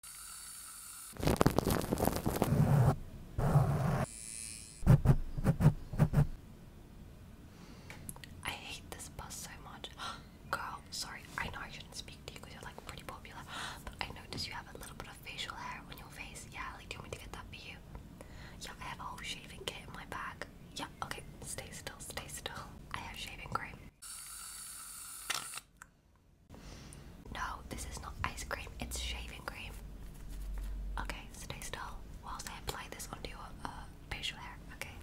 I hate this bus so much. Girl, sorry, I know I shouldn't speak to you because you're like pretty popular, but I noticed you have a little bit of facial hair on your face. Yeah, like, do you want me to get that for you? Yeah, I have a whole shaving kit in my bag. Yeah, okay, stay still, stay still. I have shaving cream. No, this is not ice cream, it's shaving cream. Okay, stay still whilst I apply this onto your uh, facial hair, okay?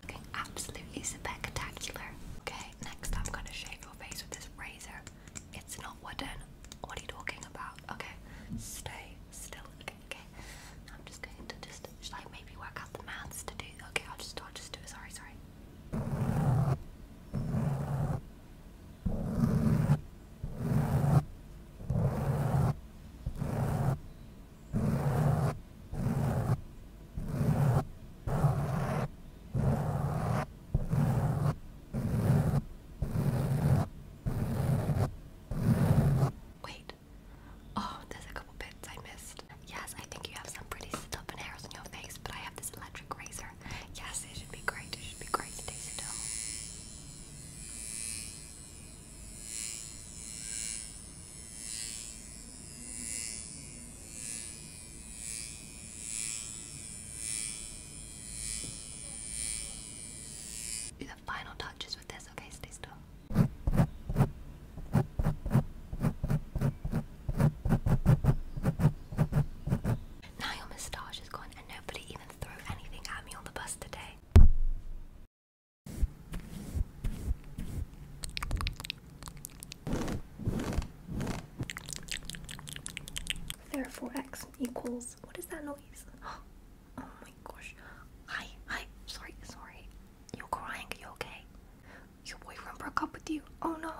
Looking absolutely spectacular. Okay, next I'm gonna shave your face with this razor. It's not wooden. What are you talking about? Okay, stay still. Okay, okay. I'm just going to just should maybe work out the maths to do. Okay, I'll just I'll just do it. Sorry, sorry. Wait. Oh, there's a couple bits I missed. Yes, I think you have some pretty stubborn hairs on your face, but I have this electric razor. Yes, it should be great. It should be great to taste it do the final touches with this, okay? Stay still. Now your moustache is gone and nobody even threw anything at me on the bus today. Therefore, x equals. What is that noise? Oh my gosh. Hi, hi. Sorry, sorry. You're crying. You okay? Your boyfriend broke up with you. Oh no.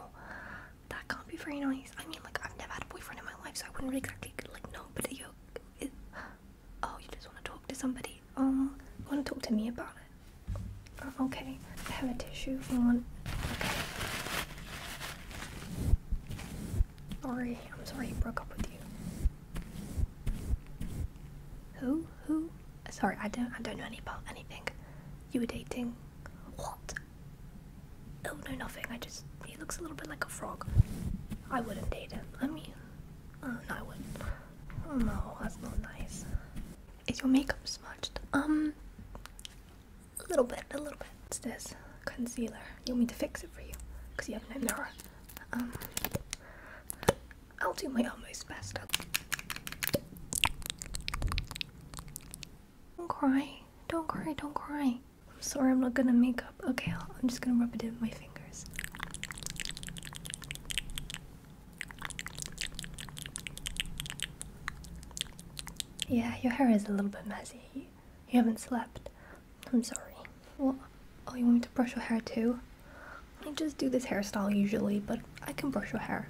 That can't be very nice. I mean, like, I've never had a boyfriend in my life, so I wouldn't really exactly, like, know, but you. It, oh, you just want to talk to somebody. Um, you want to talk to me about it? Uh, okay. I have a tissue on. Okay. Sorry, I'm sorry he broke up with you. Who? Who? Sorry, I don't I don't know any about anything. You were dating what? Oh no nothing. I just he looks a little bit like a frog. I wouldn't date him. I mean oh no I wouldn't. Oh no, that's not nice. Is your makeup smudged? Um a little bit, a little bit. What's this? Concealer. You want me to fix it for you? Because you have no mirror. Um, I'll do my almost best. Don't cry. Don't cry, don't cry. I'm sorry I'm not gonna make up. Okay, i am just gonna rub it in with my fingers. Yeah, your hair is a little bit messy. You haven't slept. I'm sorry. Well, oh, you want me to brush your hair too? I just do this hairstyle usually, but I can brush your hair.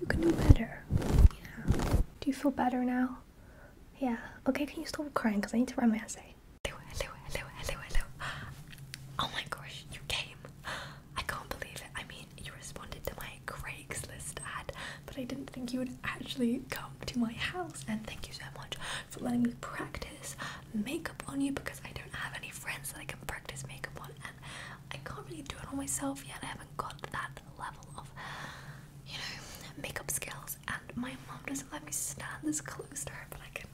You can do better. Yeah. Do you feel better now? Yeah. Okay, can you stop crying? Because I need to write my essay. Hello, hello, hello, hello, hello. Oh my gosh, you came. I can't believe it. I mean, you responded to my Craigslist ad, but I didn't think you would actually come to my house. And thank you so much for letting me practice makeup on you because I don't have any friends that I can practice makeup on, and I can't really do it on myself yet. I haven't got that level of, you know, makeup skills. And my mom doesn't let me stand this close to her, but I can,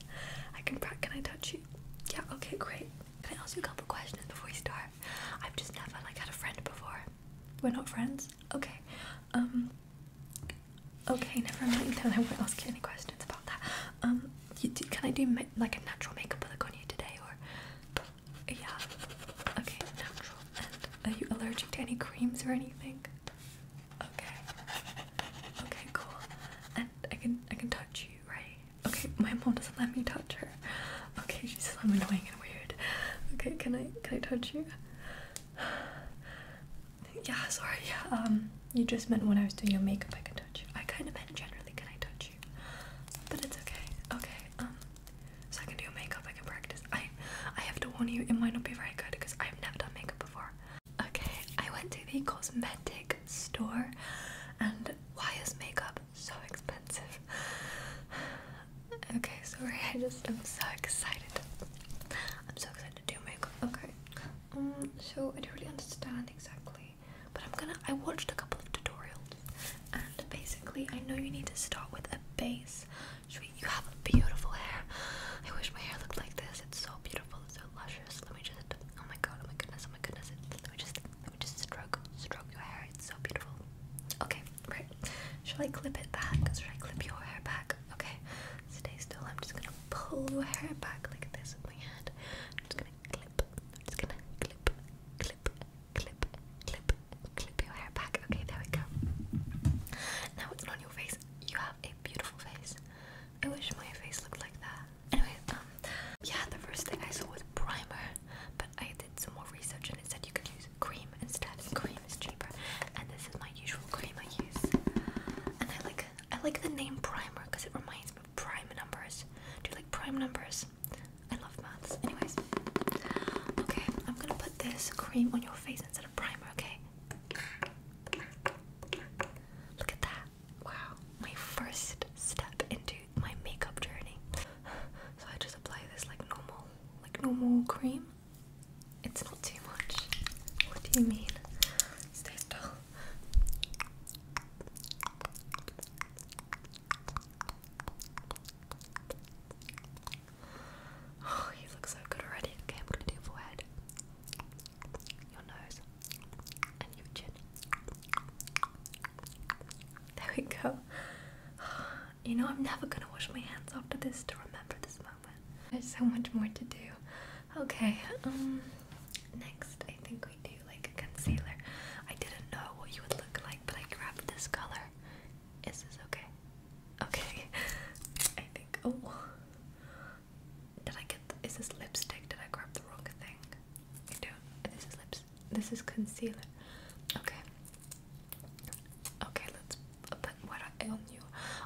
I can. Can I touch you? Yeah, okay, great. Can I ask you a couple questions before we start? I've just never like had a friend before. We're not friends? Okay. Um Okay, never mind then I won't ask you any questions about that. Um can I do like a natural makeup look on you today or yeah. Okay, natural. are you allergic to any creams or anything? Okay. Okay, cool. I can I can touch you, right? Okay, my mom doesn't let me touch her. Okay, she says I'm annoying and weird. Okay, can I can I touch you? yeah, sorry, yeah. Um you just meant when I was doing your makeup I can touch you. I kinda meant generally can I touch you? But it's okay. Okay. Um so I can do your makeup, I can practice. I I have to warn you, it might not be very good because I've never done makeup before. Okay, I went to the cosmetic store, and why is makeup so expensive? Okay, sorry, I just am so excited. I'm so excited to do makeup. Okay, um, so I don't really understand exactly, but I'm gonna. I watched a couple of tutorials, and basically, I know you need to start with a base. Sweet, you have beautiful hair. I wish my hair looked like this. It's so beautiful. It's so luscious. Let me just god. Oh my god. Oh my goodness. Oh my goodness. Let me just let me just stroke stroke your hair. It's so beautiful. Okay, right. Should I clip it back? Should I clip your hair back? Okay. Stay still. I'm just gonna pull your hair back like this with my hand. I'm just gonna clip. I'm just gonna clip, clip, clip, clip, clip your hair back. Okay, there we go. Now it's on your face. You have a beautiful face. I wish my face looked like that. Anyway, um, yeah, the first thing I saw was primer, but I did some more research and it said you could use cream instead. Cream is cheaper, and this is my usual cream I use. And I like I like the name primer because it reminds me of prime numbers. Do you like prime numbers? I love maths. Anyways, okay, I'm gonna put this cream on your face instead of primer. Okay. Look at that wow, my first step into my makeup journey. So I just apply this like normal, like normal cream. It's not too much. What do you mean? Stay still. Oh, you look so good already. Okay, I'm gonna do forehead, your nose. There we go. You know, I'm never gonna wash my hands after this to remember this moment. There's so much more to do. Okay, um, next I think we do like a concealer. I didn't know what you would look like, but I grabbed this color. Is this okay? Okay, I think. Oh, did I get? is this lipstick? Did I grab the wrong thing? I do This is lips. This is concealer. Okay. Okay, let's put what I on you.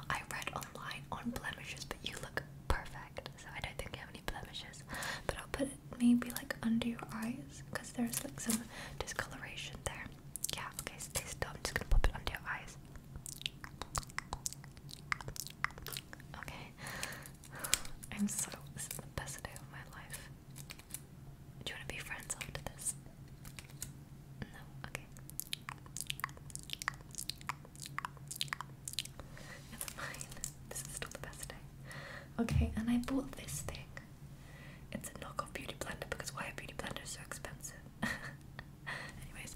I read online on blemishes, but you look perfect. So I don't think you have any blemishes. But I'll put it maybe like under your eyes, because there's like some discoloration there. Yeah. Okay. Stay still. I'm just gonna pop it under your eyes. Okay. I'm so. This is the best day of my life. Do you want to be friends after this? No? Okay. It's fine. This is still the best day. Okay, and I bought this thing. It's a knockoff beauty blender because why are beauty blenders so expensive? Anyways,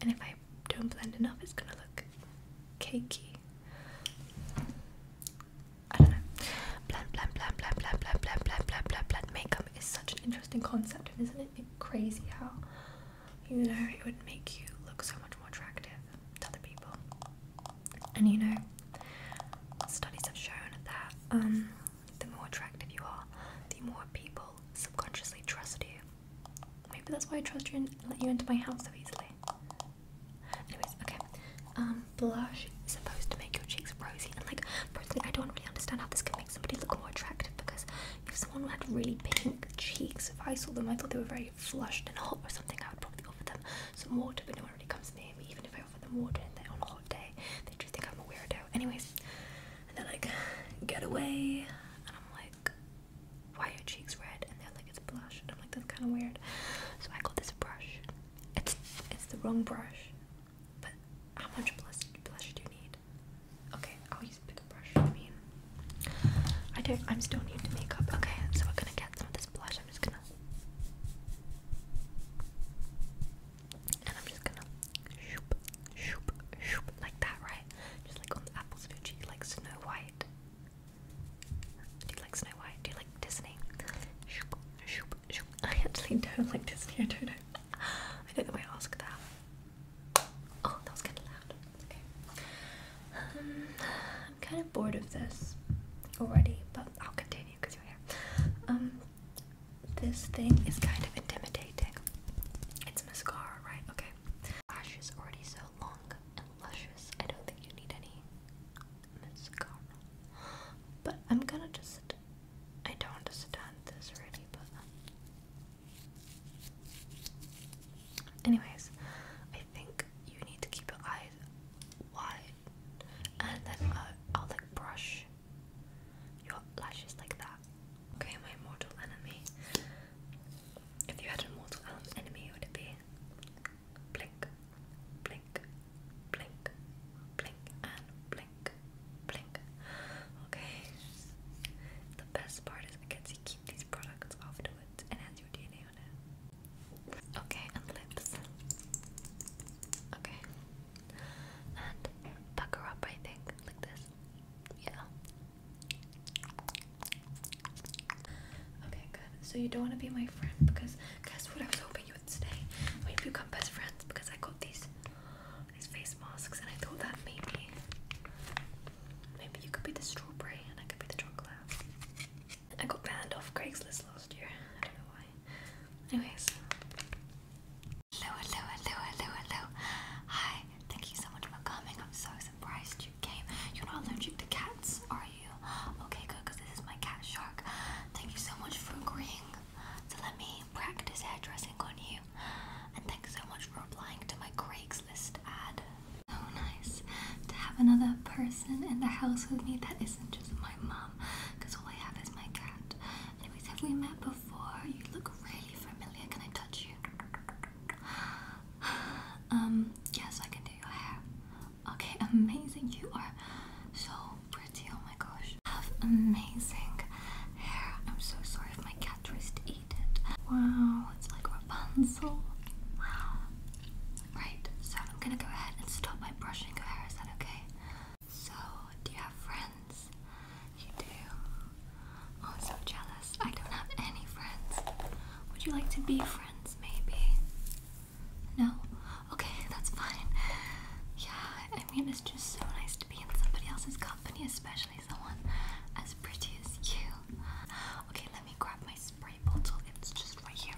and if I don't blend enough, it's gonna look cakey. I don't know. Blend, blend, blend, blend, blend, blend, blend, blend, blend, blend, blend. Makeup is such an interesting concept, and isn't it crazy how you know it would make you look so much more attractive to other people? And you know, studies have shown that um, the more attractive you are, the more people subconsciously trust you. Maybe that's why I trust you and let you into my house so easily. Anyways, okay. Um, blush is supposed to make your cheeks rosy, and like personally, I don't really understand how this can make somebody look more attractive because if someone had really pink cheeks, if I saw them, I thought they were very flushed and hot or something. I would probably offer them some water, but no one really comes near me. Even if I offer them water and they on a hot day, they just think I'm a weirdo. Anyways, and they're like, get away, and I'm like, why are your cheeks red? And they're like, it's blush. And I'm like, that's kind of weird. So I got this brush. It's it's the wrong brush. But how much blush, blush do you need? Okay, I'll use bigger brush. I mean, I don't. I'm still need to make up. Okay, so we're gonna get some of this blush. I'm just gonna. And I'm just gonna shoop, shoop, shoop, like that, right? Just like on the apples of your cheek, like Snow White. Do you like Snow White? Do you like Disney? I actually don't like Disney, I don't know. I don't know why I asked that. Oh, that was kind of loud. Okay. Um, I'm kind of bored of this already, but I'll continue because you're here. Um, this thing is kind of intimidating. It's mascara, right? Okay lashes is already so long and luscious, I don't think you need any mascara. But I'm gonna just. I don't want this already, but. Anyways, I think you need to keep your eyes wide and then uh, I'll like brush your lashes like that. Okay, my mortal enemy. If you had an immortal enemy, would it be blink, blink, blink, blink, and blink, blink? Okay. The best part is I get keep these products afterwards and has your DNA on it. Okay, and lips. Okay. And pucker up, I think, like this. Yeah, Okay, good. So you don't want to be my friend because guess what I was hoping you would stay. We'd become best friends because I got these these face masks and I thought that maybe maybe you could be the strawberry and I could be the chocolate. I got banned off Craigslist last year. I don't know why. Anyways. Hello, hello, hello, hello, hello. Hi, Thank you so much for coming. I'm so surprised you came. You're not allergic to cats, are you? Okay, good, because this is my cat shark. Thank you so much for agreeing to let me practice hairdressing on you. And thanks so much for applying to my Craigslist ad. So nice to have another person in the house with me that isn't just my mom, because all I have is my cat. Anyways, have we met before? You look really familiar. Can I touch you? um, yes, I can do your hair. Okay, amazing. You are so pretty. Oh my gosh. Have amazing hair. I'm so sorry if my cat tries to eat it. Wow, it's like Rapunzel. Wow. Right, so I'm gonna go ahead and stop my brushing your hair. Is that okay? So, do you have friends? You do. I'm so jealous. I don't have any friends. Would you like to be friends, maybe? No? Okay, that's fine. Yeah, I mean, it's just so nice to be in somebody else's company, especially someone as pretty as you. Okay, let me grab my spray bottle. It's just right here.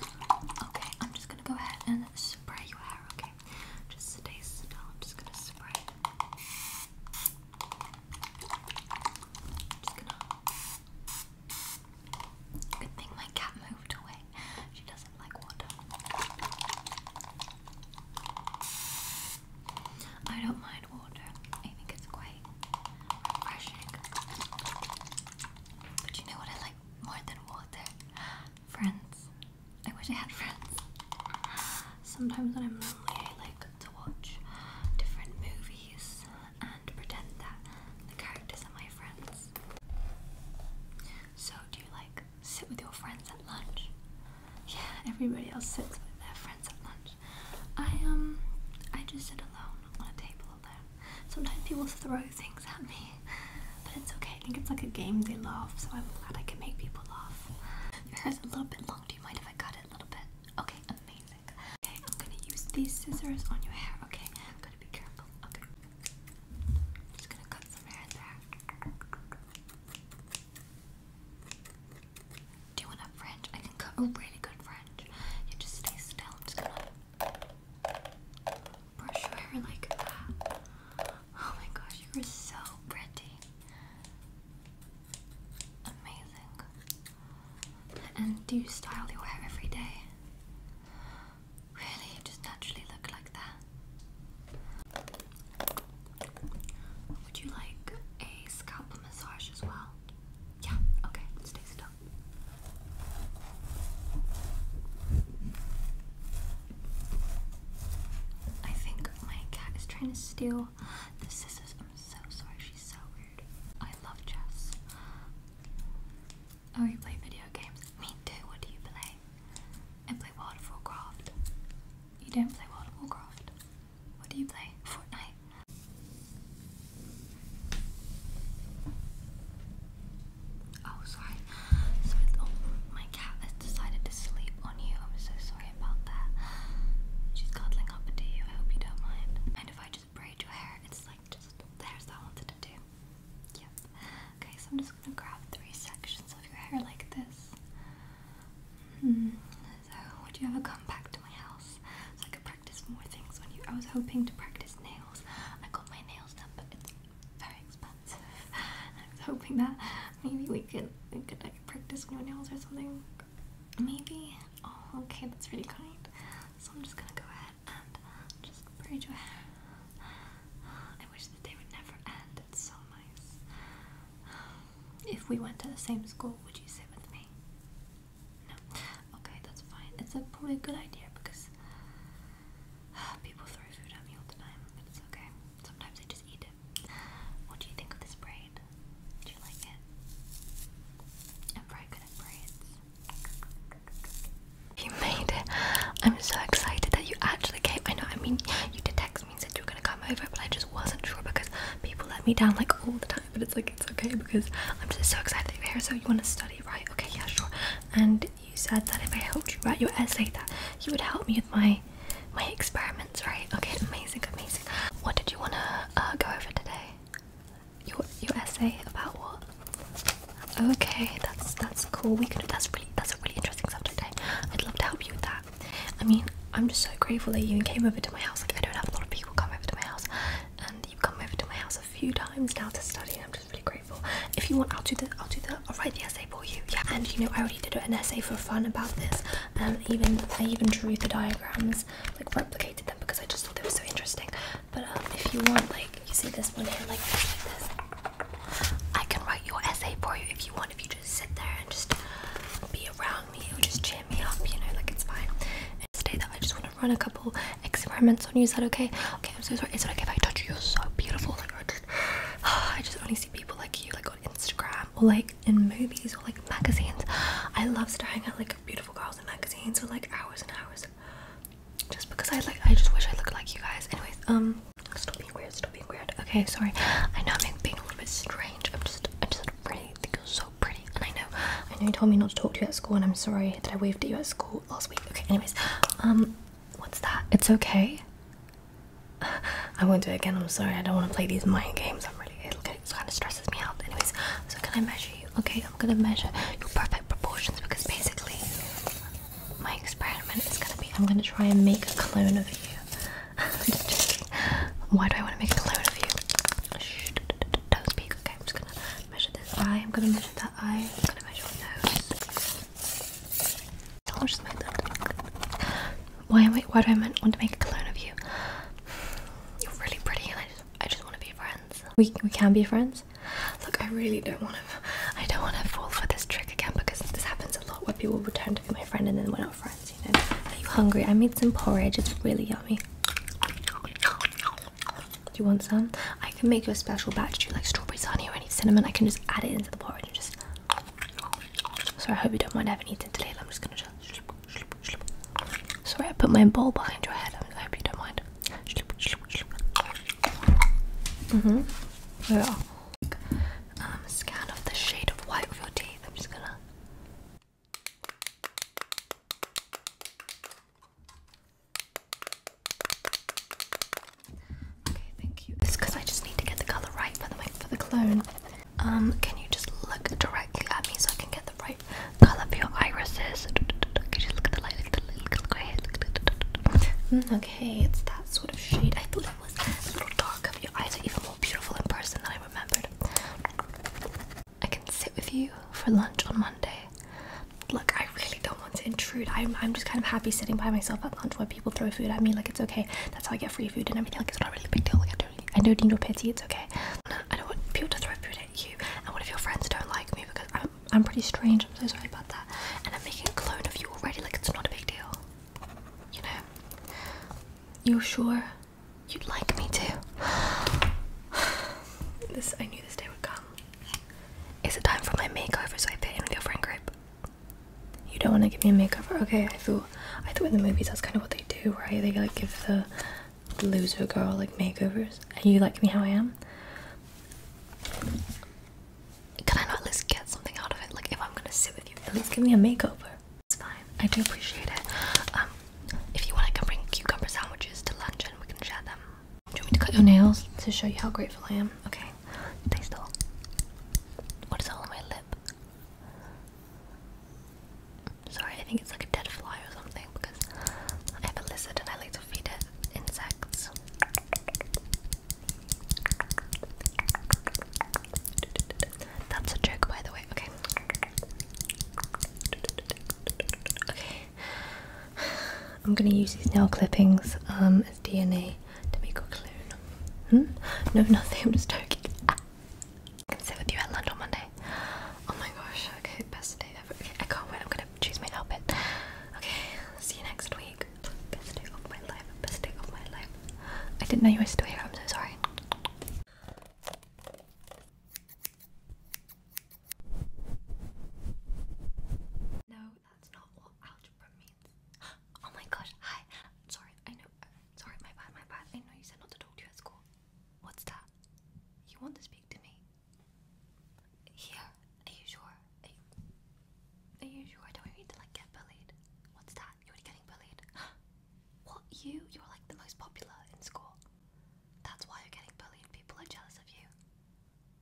Okay, I'm just gonna go ahead and spray your hair, okay? Just stay still. I'm just gonna spray. Good thing my cat moved away. She doesn't like water. I don't mind water. I think it's quite refreshing. But you know what I like more than water? Friends. I wish I had friends. Sometimes when I'm lonely, I like to watch different movies and pretend that the characters are my friends. So, do you like sit with your friends at lunch? Yeah, everybody else sits with their friends at lunch. I um, I just sit alone on a table alone. Sometimes people throw things at me, but it's okay. I think it's like a game they love, so I'm glad I can make people laugh. Your hair's a little bit long you mind if I cut it a little bit? Okay, amazing. Okay, I'm gonna use these scissors on your hair. Okay, I'm gonna be careful. Okay, just gonna cut some hair there. Do you want a fringe? I can cut a really good fringe. You just stay still. I'm just gonna brush your hair like Oh my gosh, you're so pretty. Amazing. And do you style your hair every day? Really? You just naturally look like that? Would you like a scalp massage as well? Yeah, okay, stay still. I think my cat is trying to steal the scissors, I'm so sorry, she's so rude. I love Jess. Oh, you play video games? Me too, what do you play? I play World of Warcraft. You don't play World of Warcraft? What do you play? Fortnite? Oh, sorry. So, oh, my cat has decided to sleep on you. I'm so sorry about that. She's cuddling up into you. I hope you don't mind. Mind if I just braid your hair? It's like just the that I wanted to do. Yep. Okay, so I'm just gonna grab three sections of your hair like this. Hmm. So, would you ever come back to my house so I could practice more things on you? I was hoping to practice nails. I got my nails done, but it's very expensive. I was hoping that Maybe we could we could like practice new nails or something. Maybe. Oh, okay, that's really kind. So I'm just gonna go ahead and just braid your hair. I wish the day would never end. It's so nice. If we went to the same school, would you sit with me? No. Okay, that's fine. It's a probably a good idea because ah, people throw food at me all the time, but it's okay. Sometimes I just eat it. What do you think of this braid? you made it. I'm so excited that you actually came. I know, I mean, you did text me and said you were gonna come over, but I just wasn't sure because people let me down like all the time. But it's like, it's okay because I'm just so excited that you're here. So, you wanna study, right? Okay, yeah, sure. And you said that if I helped you write your essay, that you would help me with my my experiments right. Okay, amazing, amazing. What did you wanna uh, go over today? Your your essay about what? Okay, that's that's cool. We could that's really that's a really interesting subject. Eh? I'd love to help you with that. I mean, I'm just so grateful that you even came over to my house. Like I don't have a lot of people come over to my house, and you've come over to my house a few times now to study. I'm just really grateful. If you want, I'll do the I'll do the I'll write the essay for you. Yeah, and you know I already did an essay for fun about this, even I even drew the diagrams, like replicated them because I just thought they were so interesting. But um, if you want, like you see this one here, like, this, I can write your essay for you if you want. If you just sit there and just be around me, it will just cheer me up, you know, like it's fine. And today, that I just want to run a couple experiments on you. Is that okay? Okay, I'm so sorry. It's it okay if I touch you? You're so beautiful. Like I I just only see people like you, like on Instagram or like in movies or like magazines. I love staring at like beautiful girls in magazines for like hours and hours. Just because I like I just wish I looked like you guys. Anyways, um stop being weird, stop being weird. Okay, sorry. I know I'm being a little bit strange. I'm just I just really think you're so pretty and I know I know you told me not to talk to you at school and I'm sorry that I waved at you at school last week. Okay, anyways. Um what's that? It's okay. I won't do it again. I'm sorry. I don't want to play these mind games. I'm really it kind of stresses me out. Anyways, so can I measure you? Okay, I'm gonna measure your perfect proportions because basically my experiment is gonna be I'm gonna try and make a clone of you. just, just Why do I want to make a clone of you? don't speak. Okay, I'm just gonna measure this eye. I'm gonna measure that eye. I'm gonna measure your nose. I'll just make that. Why am I? Why do I want to make a clone of you? You're really pretty, and I just, want to be friends. We we can be friends. Look, I really don't want to. I don't want to fall for this trick again because this happens a lot where people return to be my friend and then we're not friends. Are you hungry? I made some porridge. It's really yummy. Do you want some? I can make you a special batch. Do you like strawberries, honey, or any cinnamon? I can just add it into the porridge and just. So I hope you don't mind having eaten today. I'm just gonna Sorry, I put my bowl behind your head. I hope you don't mind. hmm Yeah. Um, scan of the shade of white of your teeth. I'm just gonna. Okay, thank you. It's because I just need to get the color right for the for the clone. Um, can you just look directly at me so I can get the right color for your irises? okay, it's that sort of shade. I thought it was a little dark. Of your eyes are even more beautiful in person than I remembered. I can sit with you for lunch on Monday. Look, I really don't want to intrude. I'm, I'm just kind of happy sitting by myself at lunch where people throw food at me. Like, it's okay. That's how I get free food and everything. Like, it's not really a big deal. Like, don't I don't need pity, it's okay. I don't want people to throw food at you and what if your friends don't like me because I'm I'm pretty strange, I'm so sorry about that. And I'm making a clone of you already, like it's not a big deal. You know? You're sure you'd like me too? this I knew this day would come. Is it time for my makeover so I fit in with your friend group? You don't want to give me a makeover? Okay, I feel I thought in the movies that's kind of what they do, right? They like give the, loser girl like makeovers. And you like me how I am? Can I not at least get something out of it? Like if I'm gonna sit with you, at least give me a makeover. It's fine. I do appreciate it. Um, if you want, I can bring cucumber sandwiches to lunch and we can share them. Do you want me to cut your nails to show you how grateful I am? Okay. Stay still. What is all on my lip? Sorry, I think it's like a dead fly or something because I have a lizard and I like to feed it insects. That's a joke, by the way. Okay. Okay. I'm gonna use these nail clippings um, as DNA to make a clone. Hmm? No, nothing. I'm just joking. I can sit with you at lunch on Monday. Oh my gosh, okay, best day ever. Okay, I can't wait, I'm gonna choose my outfit. Okay, see you next week. Best day of my life, best day of my life. I didn't know you were still here, I'm so sorry. No, that's not what algebra means. Oh my gosh, hi. Sorry, I know Sorry, my bad, my bad. I know you said not to talk to you at school. What's that? You want to speak to me? Here? Are you sure? Are you, sure I Don't need to like get bullied? What's that? You're already getting bullied. what? You? You're like the most popular in school. That's why you're getting bullied. People are jealous of you.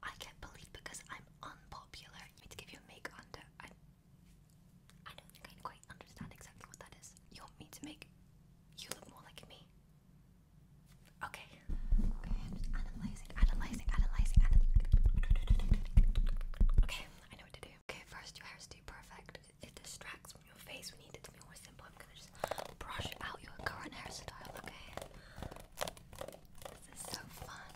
I get bullied because I'm unpopular. You need to give you a make under. I don't think I quite understand exactly what that is. You want me to make you look more like me? Okay. analyzing, analyzing, analyzing, Okay, I know what to do. Okay, first your hair is too perfect. it distracts from your face. We need it to be more simple. I'm gonna just brush out your current hairstyle, okay? This is so fun.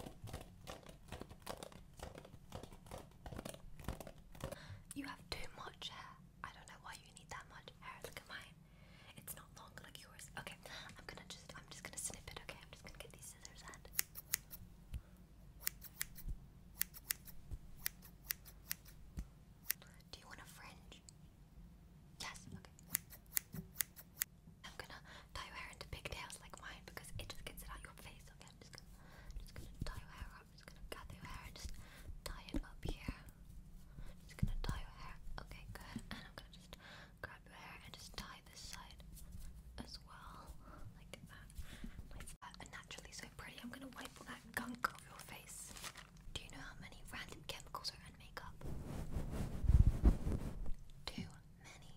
You have too much hair. I don't know why you need that much hair. Look at mine. It's not long like yours. Okay, I'm gonna just I'm just gonna snip it, okay? I'm just gonna get these scissors and do you want a fringe? Yes, okay. I'm gonna tie your hair into pigtails like mine because it just gets it out your face, okay? I'm just gonna, tie your hair I'm just gonna gather your hair and just tie it up here. just gonna tie your hair. Okay, good. And I'm gonna just grab your hair and just tie this side as well. Like that. Like that. And naturally so pretty. I'm gonna wipe all that gunk off your face. Do you know how many random chemicals are in makeup? Too many.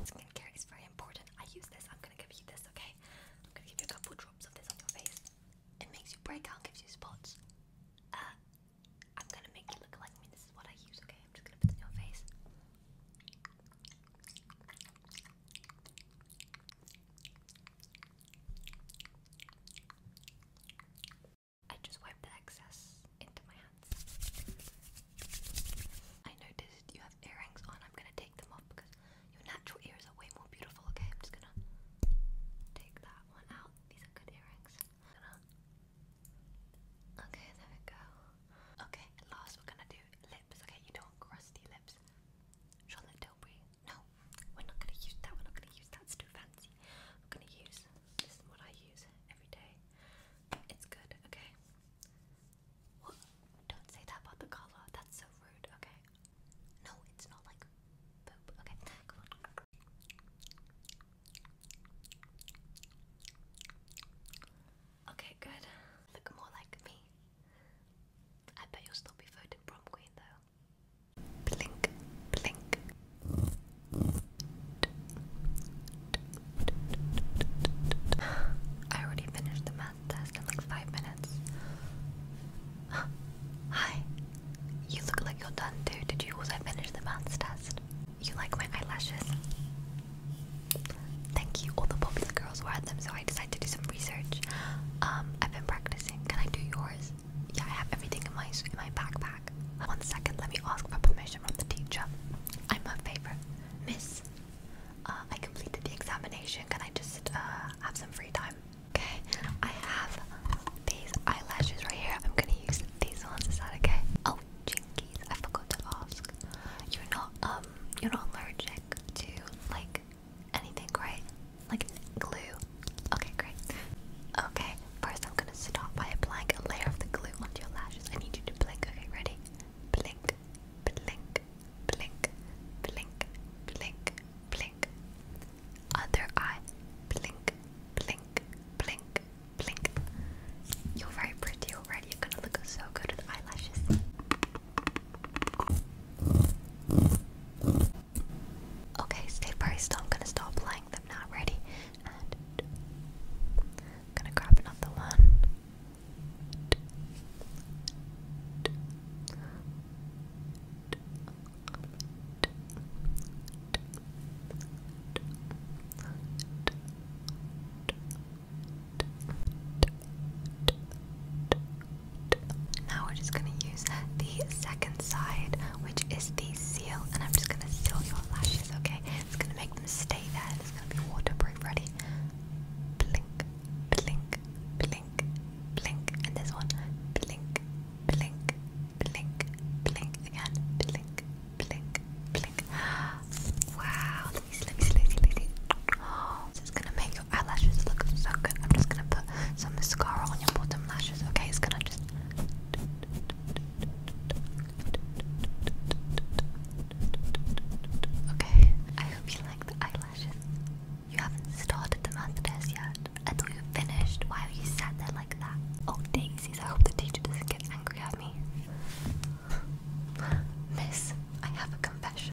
Skincare is very important. I use this. I'm gonna give you this, okay? I'm gonna give you a couple drops of this on your face. It makes you break out, gives you spots. Uh, I'm gonna make you look like me. This is what I use, okay? I'm just gonna put it in your face. I just wiped the excess into my hands. I noticed you have earrings on. I'm gonna take them off because your natural ears are way more beautiful, okay? I'm just gonna take that one out. These are good earrings. Okay, there we go. Okay, last we're gonna do okay? You don't crusty lips. Charlotte Tilbury. No, we're not gonna use that. We're not gonna use that. It's too fancy. We're gonna use this is what I use every day. It's good, okay? Don't say that about the color. That's so rude, okay? No, it's not like poop. Okay, come on. Okay, good. Look more like me. I bet you'll still be voted prom queen though. Blink, blink. I already finished the math test in like five minutes. Hi. You look like you're done too. Did you also finish the math test? You like my eyelashes? Thank you. All the popular girls wore them, so I decided to do some research. Um, I've been practicing. Can I do yours? Yeah, I have everything in my in my backpack. One second, let me ask for permission from the teacher. I'm a favorite, Miss. Uh, I completed the examination. Can I just uh, have some free time? Okay. I have these eyelashes right here. I'm gonna use these ones. Is okay? Oh, jinkies! I forgot to ask. You're not um, you're not allergic to like anything, right? Like glue. Okay, great. Okay, first I'm gonna start by applying a layer of the glue onto your lashes. I need you to blink. Okay, ready? Blink, blink, blink, blink, blink, blink. Other eye. Blink, blink, blink, blink. You're very pretty already. You're gonna look so good with eyelashes. Okay, stay priced. I'm gonna stop playing them now. Ready? gonna grab another one. Now we're just gonna use the second side, which is the seal, and I'm just gonna seal your lashes, okay? It's gonna make them stay there, and it's gonna be waterproof. Ready? Blink, blink, blink, blink, and this one, blink, blink, blink, blink again, blink, blink, blink. Wow! Let me see, let me see, let me see. Let me see. Oh, it's gonna make your eyelashes look so good. I'm just gonna put some mascara on your bottom lashes, okay? It's gonna just. Okay, I hope you like the eyelashes. You haven't started the math test yet. I thought you finished. Why are you sat there like that? Oh, daisies, I hope the teacher doesn't get angry at me. Miss, I have a confession.